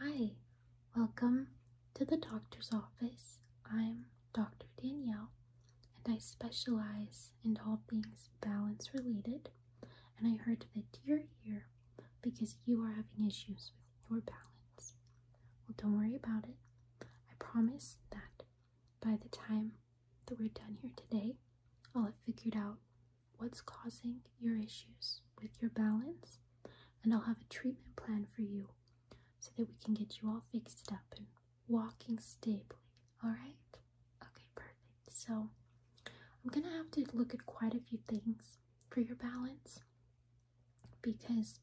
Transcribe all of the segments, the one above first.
Hi, welcome to the doctor's office. I'm Dr. Danielle and I specialize in all things balance related. And I heard that you're here because you are having issues with your balance. Well, don't worry about it. I promise that by the time that we're done here today, I'll have figured out what's causing your issues with your balance, and I'll have a treatment plan for you so that we can get you all fixed up and walking stably. All right? Okay, perfect. So I'm gonna have to look at quite a few things for your balance because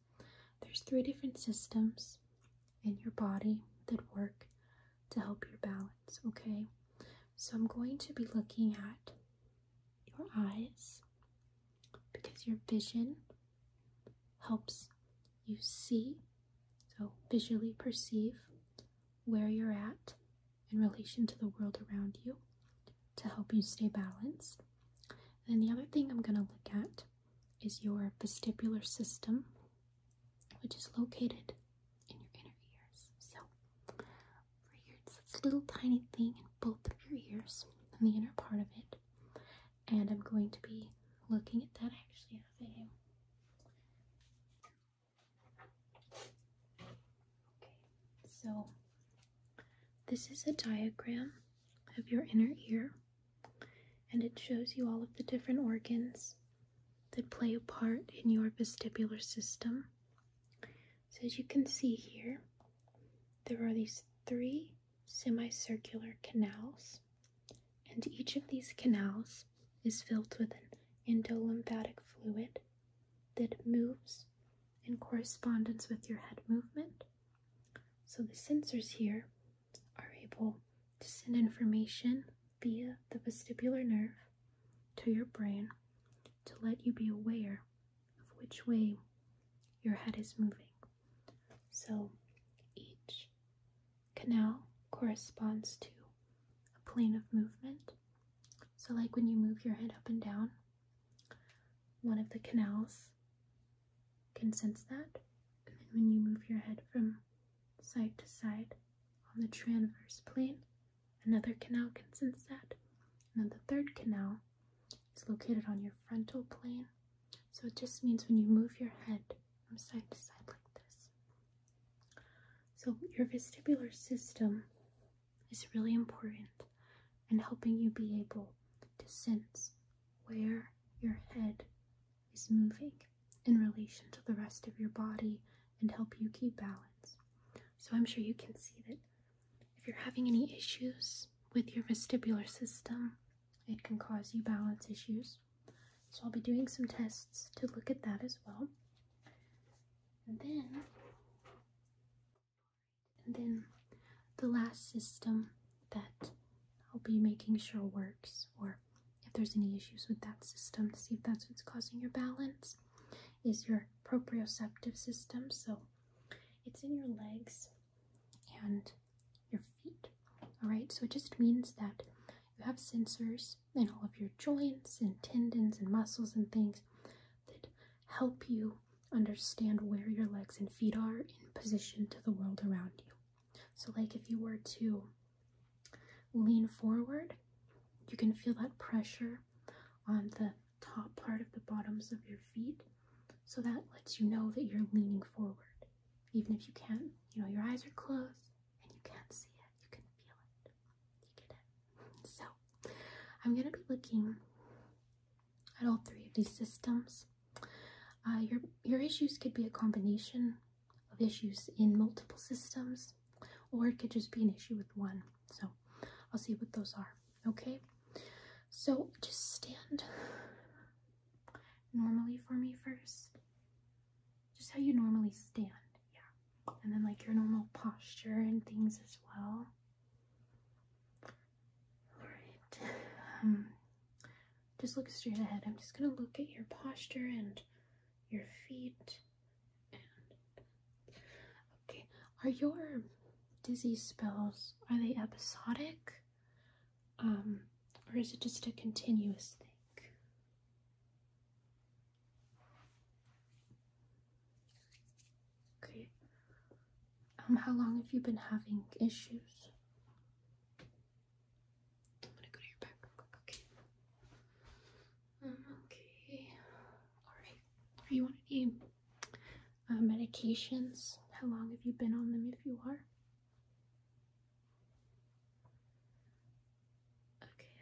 there's three different systems in your body that work to help your balance, okay? So I'm going to be looking at your eyes because your vision helps you see, so visually perceive where you're at in relation to the world around you to help you stay balanced. And then the other thing I'm going to look at is your vestibular system, which is located in your inner ears. So it's this little tiny thing in both of your ears and the inner part of it. And I'm going to be looking at that. I actually have a Okay, so this is a diagram of your inner ear, and it shows you all of the different organs that play a part in your vestibular system. So, as you can see here, there are these three semicircular canals, and each of these canals is filled with an endolymphatic fluid that moves in correspondence with your head movement. So the sensors here are able to send information via the vestibular nerve to your brain to let you be aware of which way your head is moving. So each canal corresponds to a plane of movement. So, like when you move your head up and down, one of the canals can sense that. And then when you move your head from side to side on the transverse plane, another canal can sense that. And then the third canal it's located on your frontal plane. So it just means when you move your head from side to side like this. So your vestibular system is really important in helping you be able to sense where your head is moving in relation to the rest of your body and help you keep balance. So I'm sure you can see that if you're having any issues with your vestibular system, it can cause you balance issues. So I'll be doing some tests to look at that as well. And then, and then the last system that I'll be making sure works, or if there's any issues with that system, to see if that's what's causing your balance, is your proprioceptive system. So it's in your legs and your feet. Alright, so it just means that you have sensors in all of your joints and tendons and muscles and things that help you understand where your legs and feet are in position to the world around you. So, like if you were to lean forward, you can feel that pressure on the top part of the bottoms of your feet so that lets you know that you're leaning forward even if you can't you know your eyes are closed and you can't see it you can feel it you get it so i'm going to be looking at all three of these systems uh, your your issues could be a combination of issues in multiple systems or it could just be an issue with one so i'll see what those are okay? So just stand normally for me first. Just how you normally stand, yeah. And then like your normal posture and things as well. Alright. Um, just look straight ahead. I'm just gonna look at your posture and your feet okay. Are your dizzy spells, are they episodic? Um, or is it just a continuous thing? Okay. Um, how long have you been having issues? I'm gonna go to your back real quick, okay. Um, okay. Alright. Are you on any uh, medications? How long have you been on them if you are? Okay.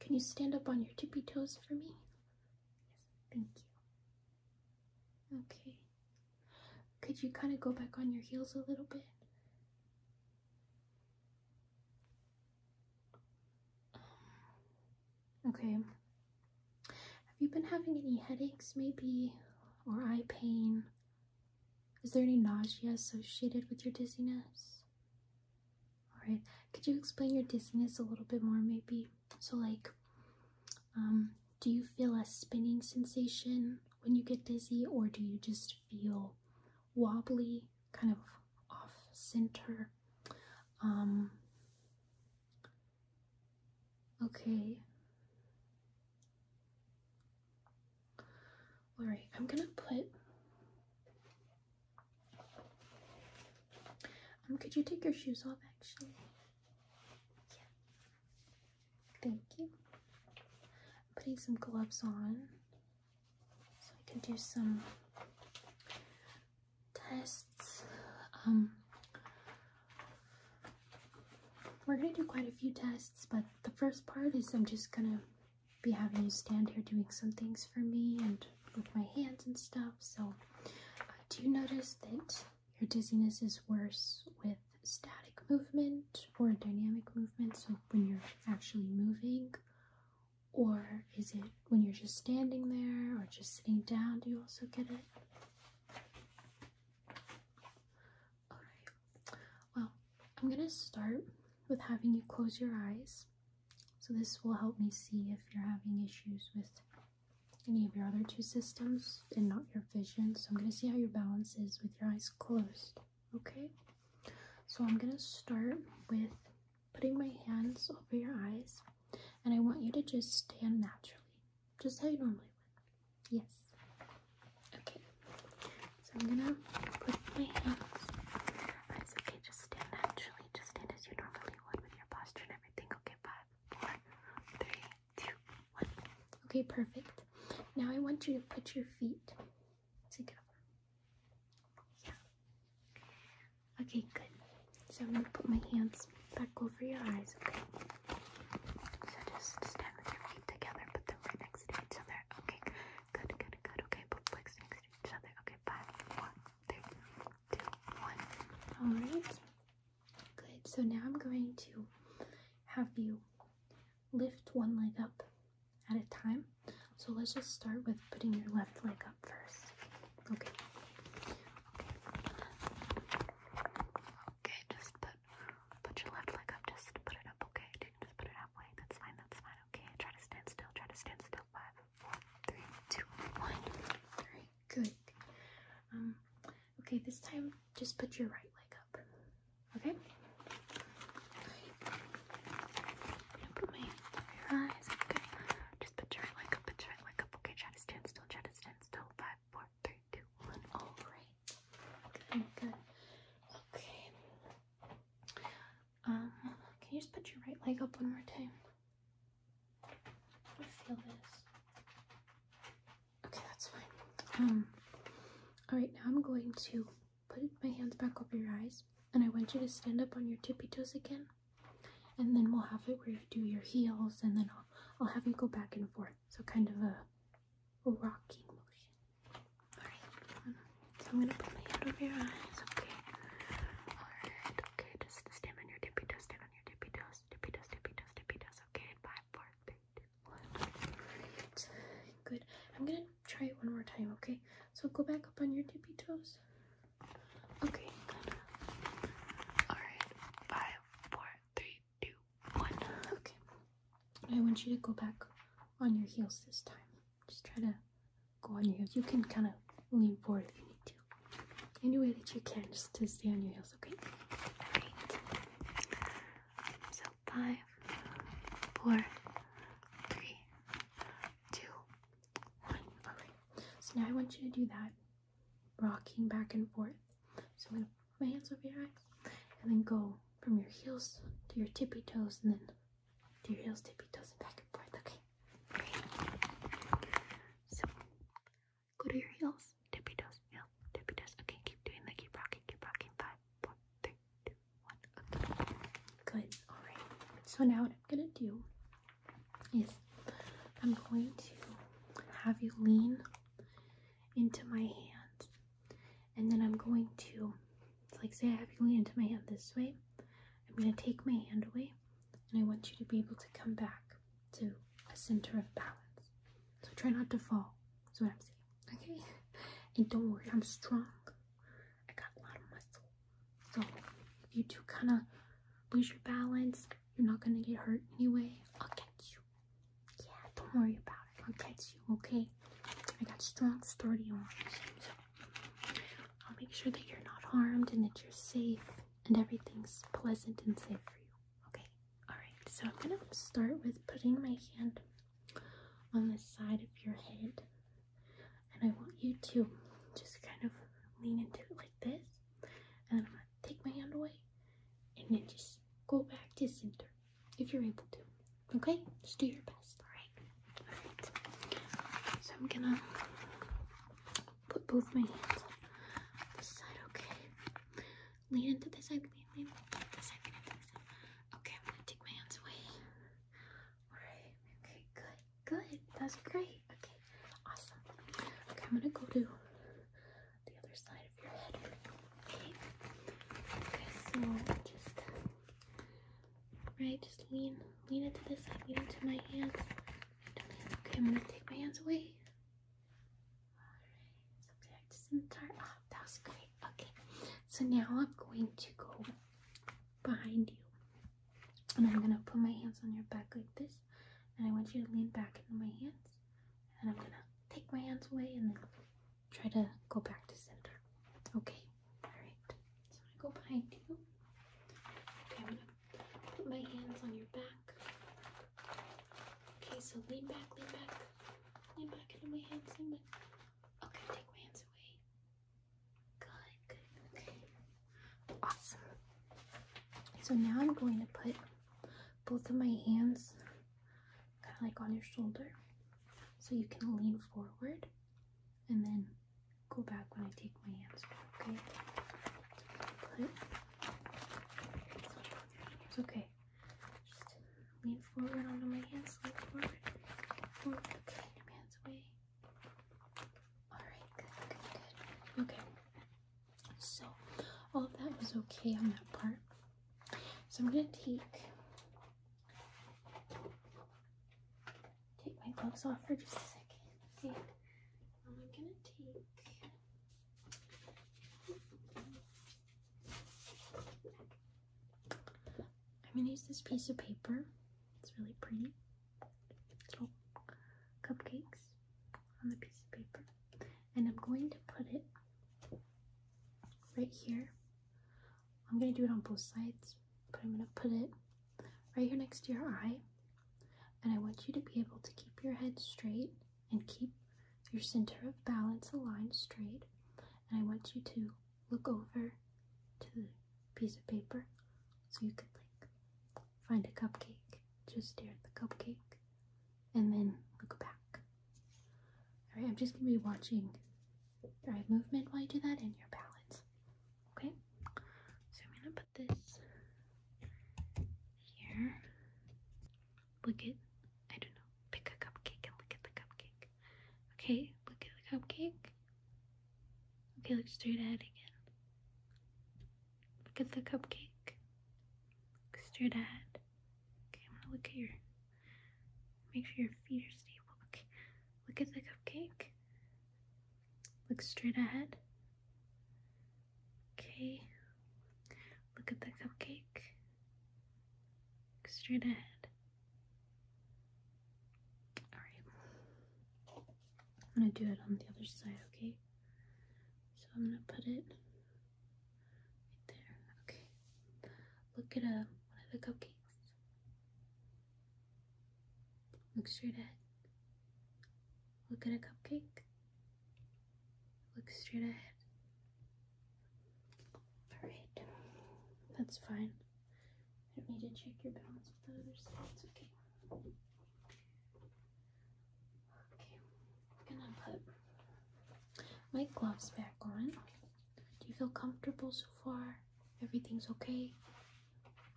Can you stand up on your tippy toes for me? Yes, thank you. Okay. Could you kind of go back on your heels a little bit? Okay. Have you been having any headaches, maybe? Or eye pain? Is there any nausea associated with your dizziness? Alright, could you explain your dizziness a little bit more, maybe? So, like, um, do you feel a spinning sensation when you get dizzy, or do you just feel wobbly, kind of off center? Um, Okay. All right, I'm gonna put. Um, could you take your shoes off actually? Yeah. Thank you. putting some gloves on so I can do some tests. Um, we're gonna do quite a few tests, but the first part is I'm just gonna be having you stand here doing some things for me and with my hands and stuff. So, uh, do you notice that your dizziness is worse with static movement or dynamic movement? So, when you're actually moving, or is it when you're just standing there or just sitting down, do you also get it? Alright, well, I'm gonna start with having you close your eyes. So, this will help me see if you're having issues with any of your other two systems and not your vision. So, I'm gonna see how your balance is with your eyes closed, okay? So, I'm gonna start with putting my hands over your eyes, and I want you to just stand naturally, just how you normally would. Yes. Okay. So I'm gonna put my hands. okay. Just stand naturally. Just stand as you normally would with your posture and everything. Okay. Five, four, three, two, one. Okay. Perfect. Now I want you to put your feet together. Yeah. Okay, good. So I'm gonna put my hands back over your eyes, okay? So just stand with your feet together, put them right next to each other. Okay, good, good, good. Okay, both legs next to each other. Okay, five, one, two, two, one. Alright. Good. So now I'm going to have you lift one leg up at a time. So let's just start with putting your left leg up first. Okay. Okay. Okay, just put put your left leg up, just put it up, okay? just put it halfway. That's fine, that's fine, okay. Try to stand still, try to stand still. Five, four, three, two, one. good. Um okay, this time just put your right leg up. Okay? Open your eyes. Okay. Just put your right leg up, put your right leg up. Okay, try to stand still, try to stand still five, four, three, two, one. All right. Good, good. Okay. Um, can you just put your right leg up one more time? I feel this. Okay, that's fine. Um. All right. Now I'm going to put my hands back over your eyes, and I want you to stand up on your tippy toes again and then we'll have it where you do your heels and then I'll, I'll have you go back and forth so kind of a rocking motion all right so i'm gonna put my hand over your eyes okay all right okay just stand on your tippy toes stand on your tippy toes tippy toes tippy toes tippy toes okay five four three two one right. good i'm gonna try it one more time okay so go back up on your tippy toes Okay, Alright, five, four, three, two, one. Okay. I want you to go back on your heels this time. Just try to go on your heels. You can kind of lean forward if you need to. Any way that you can, just to stay on your heels, okay? Alright. So five, four, three, two, one. Alright. So now I want you to do that rocking back and forth. So I'm gonna put my hands over your eyes and then go from your heels to your tippy toes and then to your heels, tippy toes, and back and forth. Okay. So go to your heels, tippy toes, heels, tippy toes. Okay, keep doing that. Keep rocking, keep rocking. Five, four, three, two, one. Okay. Good. All right. So now what I'm gonna do is I'm going to have you lean into my hand and then I'm going to like say I have you lean into my hand this way I'm going to take my hand away and I want you to be able to come back to a center of balance so try not to fall that's what I'm saying okay and don't worry I'm strong I got a lot of muscle so if you do kind of lose your balance you're not gonna get hurt anyway. I'll catch you. Yeah, don't worry about it. I'll catch you, okay? I got strong, sturdy arms. So I'll make sure that you're not harmed and that you're safe and everything's pleasant and safe for you. Okay? Alright, so I'm gonna start with putting my hand on the side of your head. And I want you to just kind of lean into it like this. And take my hand away, and then just go back to center if you're able to. Okay, just do your best. All right. All right. So I'm gonna put both my hands this side. Okay. Lean into this side. Lean, lean, lean into this side. Okay, I'm gonna take my hands away. All right. Okay. Good. Good. That's great. Okay. Awesome. Okay, I'm gonna go to the other side of your head Okay. so just right, just lean, lean into this side, lean into my hands. Okay, I'm gonna take my hands away. Alright, so the entire oh, that was great. Okay. So now I'm going to go behind you. And I'm gonna put my hands on your back like this. And I want you to lean back into my hands and I'm gonna take my hands away and then try to go back to center. Okay, alright. So I'm gonna go behind you. Okay, I'm gonna put my hands on your back. Okay, so lean back, lean back, lean back into my hands, Okay, take my hands away. Good, good, okay. Awesome. So now I'm going to put both of my hands kind of like on your shoulder so you can lean forward and then go back when I take my hands okay? It's okay. Just lean forward onto my hands, lean forward, okay, your hands away. Alright, good, good, good. Okay, so all of that was okay on that part. So I'm gonna take take my gloves off for just a second. And um, I'm gonna take I'm gonna use this piece of paper. It's really pretty. Little cupcakes on the piece of paper and I'm going to put it right here. I'm going to do it on both sides, but I'm going to put it right here next to your eye. And I want you to be able to keep your head straight and keep your center of balance aligned straight. And I want you to look over to the piece of paper so you can like find a cupcake. Just stare at the cupcake and then look back. All right, I'm just going to be watching your eye movement while you do that and your balance. Okay, so I'm going to put this here. Look at, I don't know, pick a cupcake and look at the cupcake. Okay, look at the cupcake. Okay, look straight ahead again. Look at the cupcake. Look straight ahead. Okay, I'm gonna look at your. Make sure your feet are stable. Okay, look at the cupcake. Look straight ahead. Okay, look at the cupcake. Look straight ahead. Alright. I'm gonna do it on the other side, okay? So I'm gonna put it right there. Okay. Look at a, uh, one of the cupcakes. Look straight ahead. Look at a cupcake. Look straight ahead. Alright. That's fine. I don't need to check your balance with the other side. It's okay. Okay, I'm gonna put my gloves back on. Do you feel comfortable so far? Everything's okay?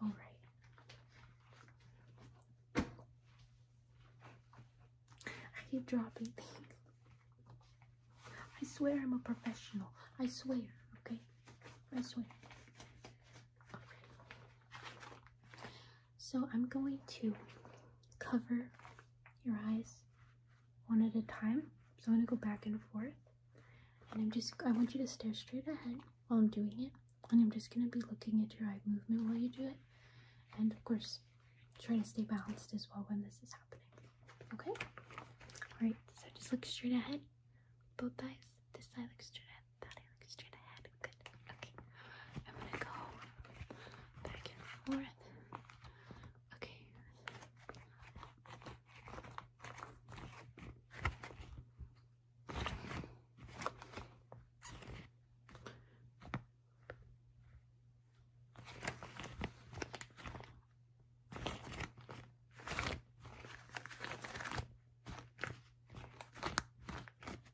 Alright. I keep dropping things. I swear I'm a professional. I swear, okay? I swear. Okay. So I'm going to cover your eyes one at a time. So I'm going to go back and forth. And I'm just, I want you to stare straight ahead while I'm doing it. And I'm just going to be looking at your eye movement while you do it. And of course, try to stay balanced as well when this is happening. Okay? Alright, so just look straight ahead. Both eyes. This eye looks straight ahead. That eye looks straight ahead. Good. Okay. I'm gonna go back and forth. Okay.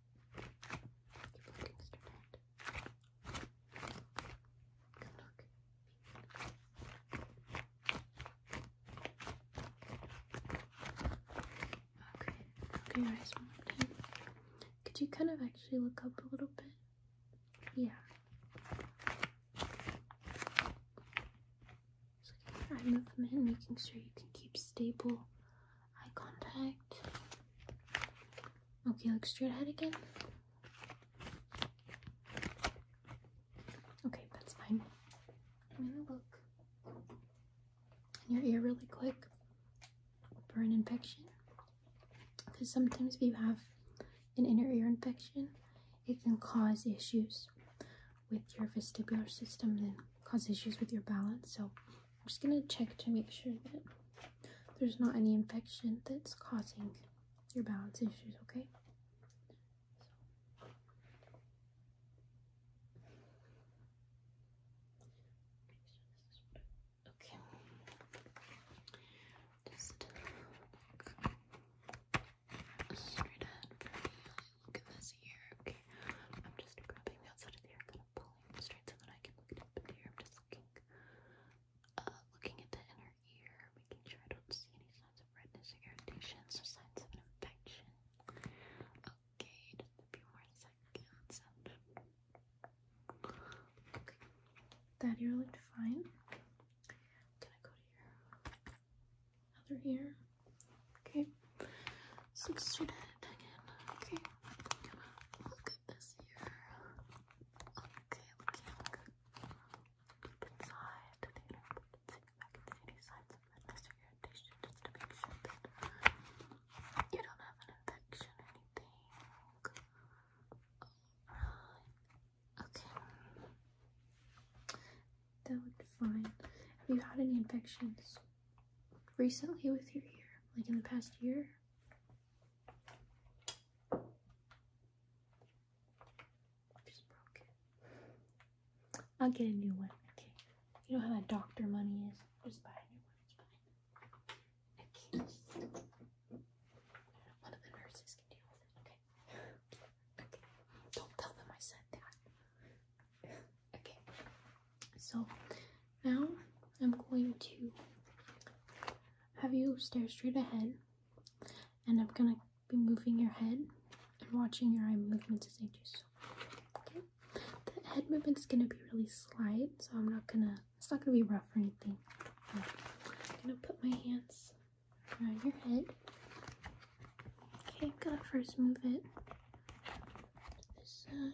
You fucking stupid. Good luck. Okay, okay, your eyes one more time. Could you kind of actually look up a little bit? Yeah. Just looking at your eye making sure you can keep stable eye contact. Okay, look straight ahead again. Okay, that's fine. I'm gonna look in your ear really quick for an infection. Because sometimes if you have an inner ear infection, it can cause issues with your vestibular system and cause issues with your balance. So I'm just going to check to make sure that there's not any infection that's causing your balance issues, okay? Okay. Just look straight ahead for me. Look at this ear. Okay. I'm just grabbing the outside of the ear, kind of pulling it straight so that I can look it up in the ear. I'm just looking uh, looking at the inner ear, making sure I don't see any signs of redness or irritation, so signs of an infection. Okay, just a few more seconds. Okay, that ear looked fine. Can I go to your other ear? Okay, so straight ahead again. Okay, look at this ear. Okay, we can't deep inside the see if I can see any signs of redness or just to make sure that you don't have an infection or anything. Okay. That looked fine. Have you had any infections recently with your ear? Like in the past year? I'll get a new one. Okay. You know how that doctor money is? Just buy a new one. It's fine. Okay. One of the nurses can deal with it. Okay. Okay. Don't tell them I said that. Okay. So now I'm going to have you stare straight ahead and I'm going to be moving your head and watching your eye movements as I do so. Okay? The head movement's going to be really slight, so I'm not going to, it's not going to be rough or anything. I'm going to put my hands around your head. Okay, I'm going to first move it this side.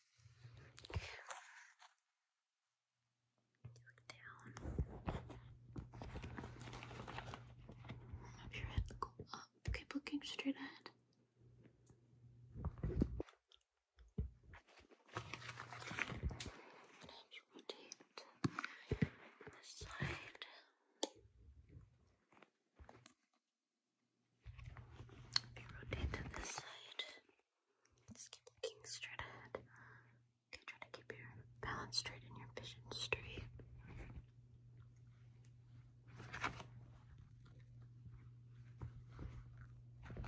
Look down. Have your head go up. Keep looking straight ahead. And you rotate this side. Okay, rotate to this side. Just keep looking straight ahead. Okay, try to keep your balance straight and your vision straight. Okay,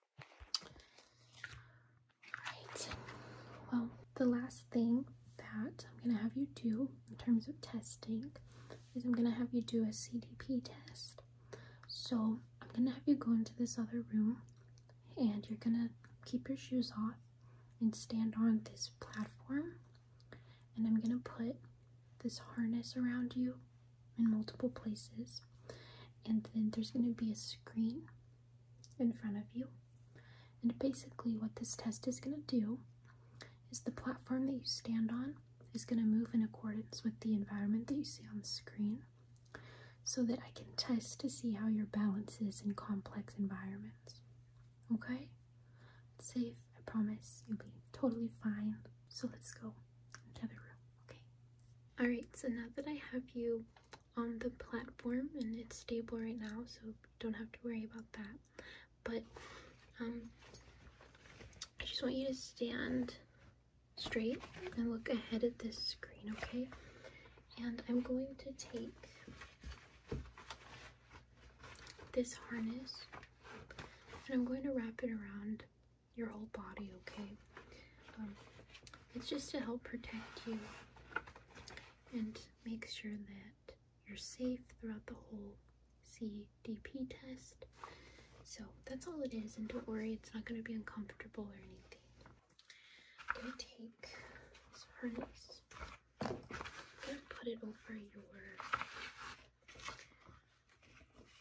Alright, well, the last thing that I'm going to have you do in terms of testing is I'm going to have you do a CDP test. So I'm going to have you go into this other room and you're going to keep your shoes off and stand on this platform and I'm going to put this harness around you in multiple places, and then there's going to be a screen in front of you. And basically, what this test is going to do is the platform that you stand on is going to move in accordance with the environment that you see on the screen so that I can test to see how your balance is in complex environments. Okay? It's safe, I promise. You'll be totally fine. So let's go into the room. Okay. Alright, so now that I have you on the platform and it's stable right now, so don't have to worry about that. But um I just want you to stand straight and look ahead at this screen, okay? And I'm going to take this harness and I'm going to wrap it around your whole body, okay? Um, it's just to help protect you and make sure that you're safe throughout the whole CDP test. So that's all it is, and don't worry, it's not going to be uncomfortable or anything. I'm going to take this harness and put it over your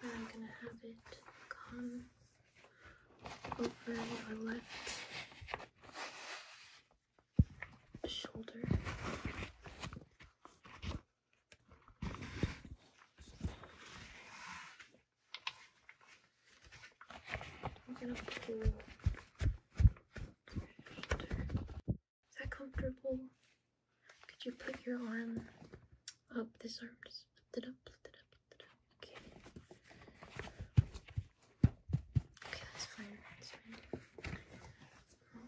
And I'm gonna have it come over your left shoulder. Is that comfortable? Could you put your arm up? This arm just lift it up, lift it up, lift it up. Okay. Okay, that's fine. That's fine. I'm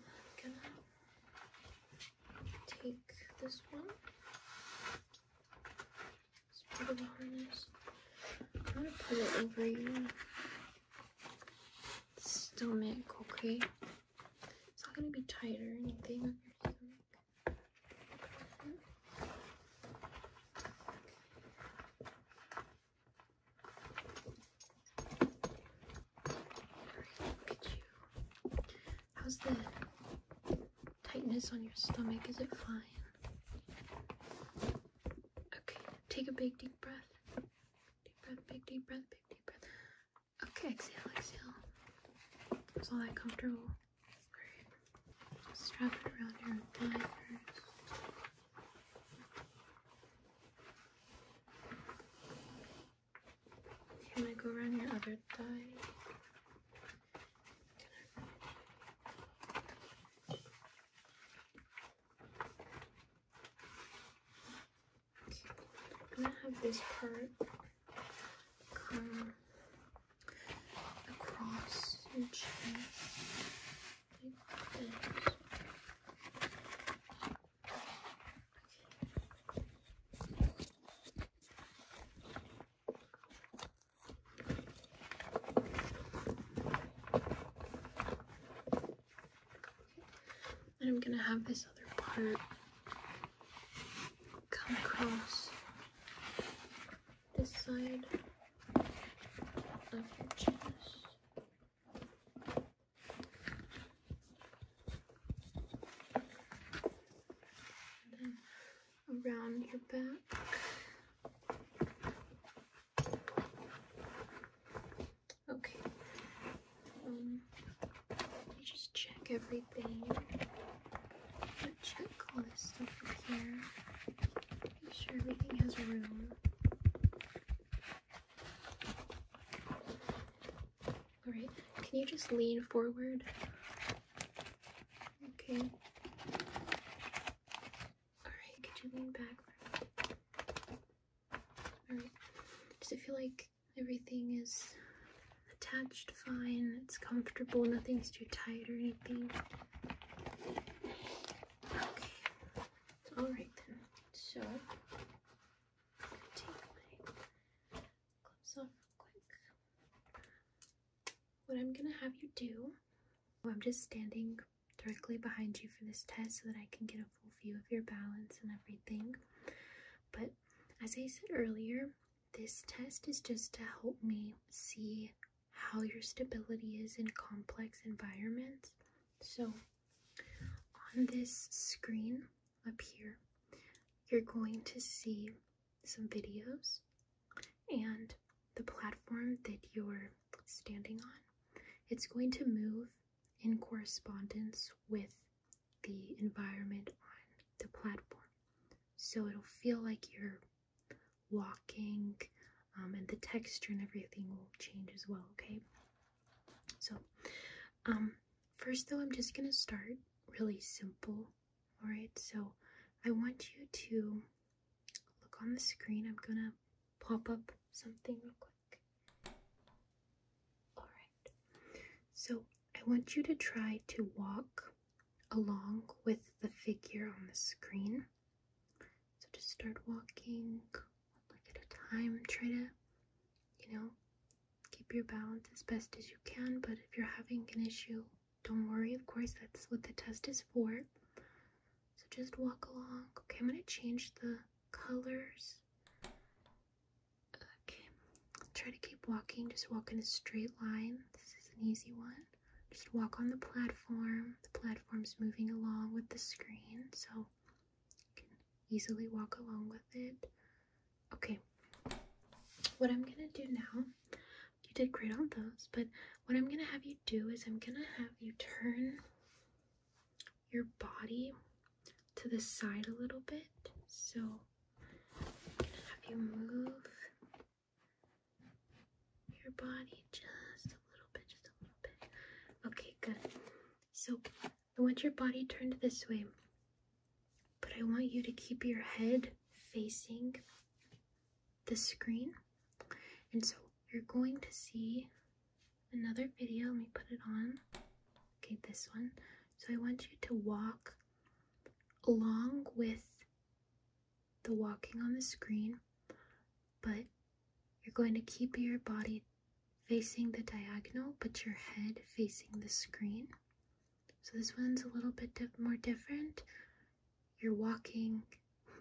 gonna take this one. It's part of the harness. I'm gonna put it over you stomach, okay? It's not gonna be tight or anything How's the tightness on your stomach? Is it fine? Okay, take a big deep breath. Deep breath, big deep breath, big deep breath. Okay, exhale, exhale. Is all that comfortable? Alright. Just strap it around your thigh first. go around your other thigh. I'm gonna have this part come across your chin like this. And I'm gonna have this other part come across this side of your chest. then around your back. Okay. Um, let me just check everything. checklist here. Make sure everything has room. Alright, can you just lean forward? Okay. Alright, could you lean back? Alright, does it feel like everything is attached fine? It's comfortable, nothing's too tight or anything? Okay, alright then. So, gonna take my clips off real quick. What I'm gonna have you do, I'm just standing directly behind you for this test so that I can get a full view of your balance and everything. But as I said earlier, this test is just to help me see how your stability is in complex environments. So on this screen up here, you're going to see some videos and the platform that you're standing on. It's going to move in correspondence with the environment on the platform. So it'll feel like you're walking um, and the texture and everything will change as well, okay? So um, first though, I'm just gonna start really simple, all right? So I want you to look on the screen. I'm gonna pop up something real quick. Alright, so I want you to try to walk along with the figure on the screen. So just start walking one at a time. Try to, you know, keep your balance as best as you can. But if you're having an issue, don't worry, of course, that's what the test is for. So just walk along. Okay, I'm going to change the colors. Okay, try to keep walking. Just walk in a straight line. This is an easy one. Just walk on the platform. The platform's moving along with the screen, so you can easily walk along with it. Okay, what I'm gonna do now, you did great on those, but what I'm gonna have you do is I'm gonna have you turn your body to the side a little bit. So i have you move your body just a little bit, just a little bit. Okay, good. So I want your body turned this way, but I want you to keep your head facing the screen. And so you're going to see another video. Let me put it on. Okay, this one. So I want you to walk along with the walking on the screen, but you're going to keep your body facing the diagonal, but your head facing the screen. So this one's a little bit more different. You're walking,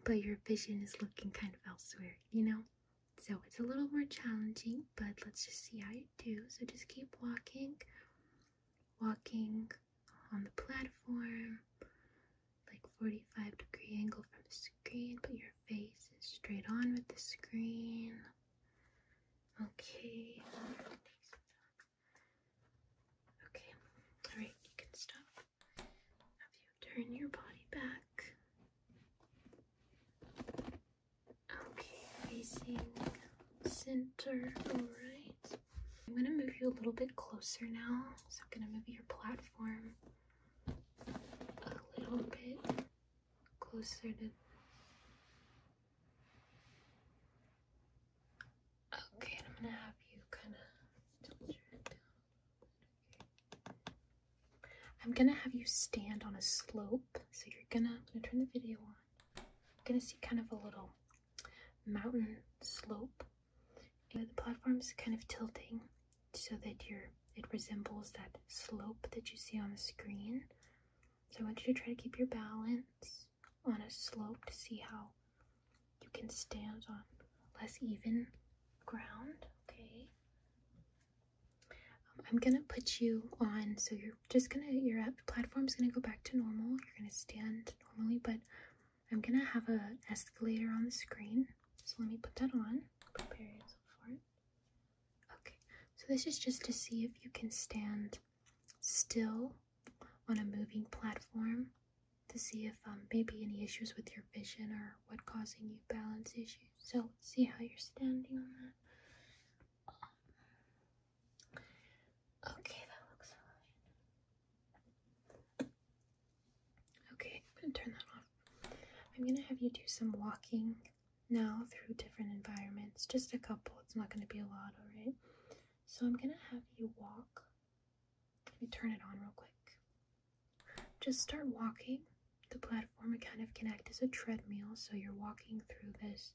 but your vision is looking kind of elsewhere, you know? So it's a little more challenging, but let's just see how you do. So just keep walking, walking on the platform, like 45 degree angle from the screen, but your face is straight on with the screen. Okay. Okay. All right, you can stop. turn your body back. Okay, facing center, alright. I'm gonna move you a little bit closer now. So I'm gonna move your platform a little bit closer to Okay, I'm gonna have you kinda tilt your head down. Okay. I'm gonna have you stand on a slope. So you're gonna, I'm gonna turn the video on. You're gonna see kind of a little mountain slope. And the platform's kind of tilting so that your it resembles that slope that you see on the screen. So I want you to try to keep your balance on a slope to see how you can stand on less even ground. Okay. Um, I'm gonna put you on, so you're just gonna, your platform's gonna go back to normal. You're gonna stand normally, but I'm gonna have an escalator on the screen. So let me put that on. Prepare yourself for it. Okay, so this is just to see if you can stand still on a moving platform to see if um, maybe any issues with your vision or what causing you balance issues. So let's see how you're standing on that. okay, that looks fine. Okay, I'm gonna turn that off. I'm gonna have you do some walking now through different environments. Just a couple, it's not gonna be a lot, alright? So I'm gonna have you walk. Let me turn it on real quick. Just start walking the platform it kind of connects as a treadmill. So you're walking through this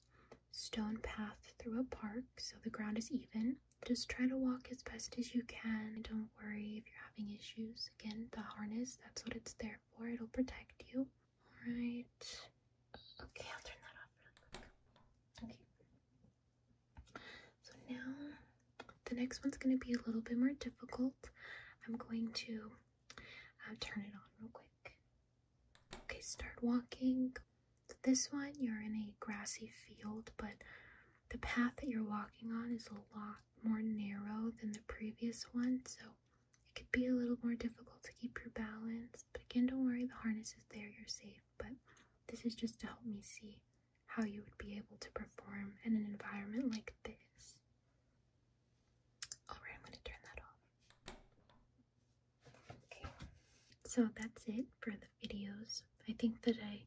stone path through a park, so the ground is even. Just try to walk as best as you can. Don't worry if you're having issues. Again, the harness, that's what it's there for. It'll protect you. All right. Okay, I'll turn that off really quick. Okay. So now the next one's going to be a little bit more difficult. I'm going to uh, turn it on real quick. Okay, start walking. This one, you're in a grassy field, but the path that you're walking on is a lot more narrow than the previous one, so it could be a little more difficult to keep your balance. But again, don't worry, the harness is there, you're safe. But this is just to help me see how you would be able to perform in an environment like this. Alright, I'm going to turn that off. Okay, so that's it for the videos. I think that I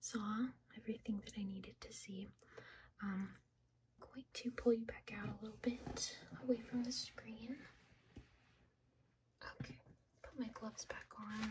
saw everything that I needed to see. Um, I'm going to pull you back out a little bit away from the screen. Okay, put my gloves back on.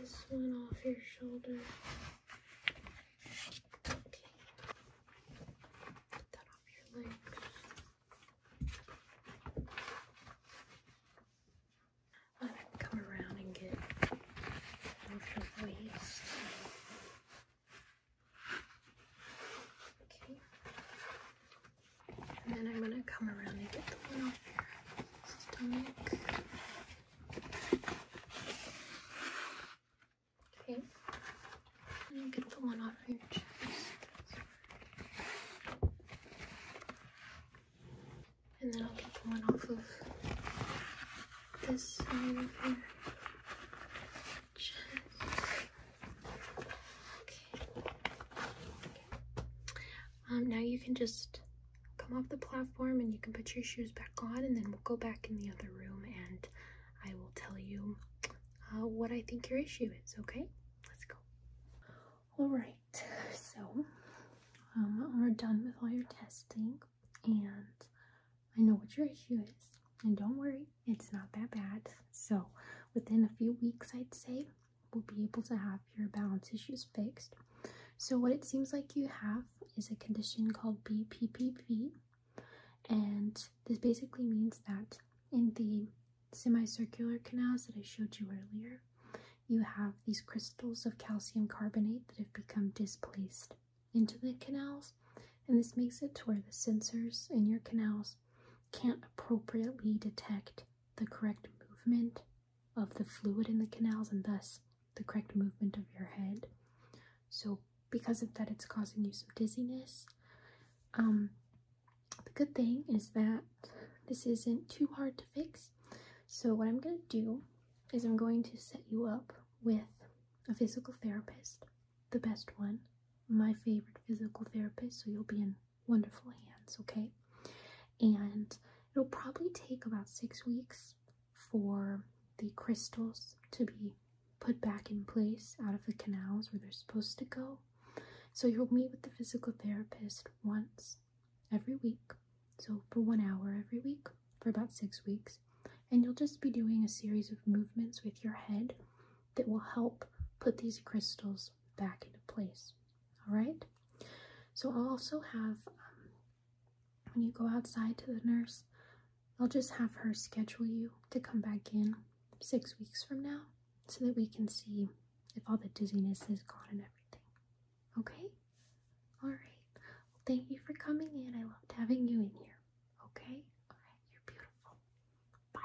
this one off your shoulder. Okay. Get that off your legs. I'm come around and get your waist. Okay. And then I'm gonna come around and get the one off your stomach. Okay. And get the one off your chest. And then I'll get the one off of this side of your chest. okay. Um, now you can just come off the platform and you can put your shoes back on, and then we'll go back in the other room and I will tell you uh, what I think your issue is, okay? Let's go. All right, so um, we're done with all your testing, and I know what your issue is. And don't worry, it's not that bad. So, within a few weeks, I'd say, we'll be able to have your balance issues fixed. So, what it seems like you have is a condition called BPPV, and this basically means that in the semicircular canals that I showed you earlier, you have these crystals of calcium carbonate that have become displaced into the canals, and this makes it to where the sensors in your canals can't appropriately detect the correct movement of the fluid in the canals and thus the correct movement of your head. So, because of that, it's causing you some dizziness. Um, the good thing is that this isn't too hard to fix. So, what I'm going to do is I'm going to set you up with a physical therapist, the best one, my favorite physical therapist, so you'll be in wonderful hands, okay? And it'll probably take about six weeks for the crystals to be put back in place out of the canals where they're supposed to go. So you'll meet with the physical therapist once every week, so for one hour every week for about six weeks, and you'll just be doing a series of movements with your head that will help put these crystals back into place. All right. So I'll also have um, when you go outside to the nurse, I'll just have her schedule you to come back in six weeks from now so that we can see if all the dizziness is gone and everything. Okay? Alright. Well, thank you for coming in. I loved having you in here. Okay? Alright, you're beautiful. Bye.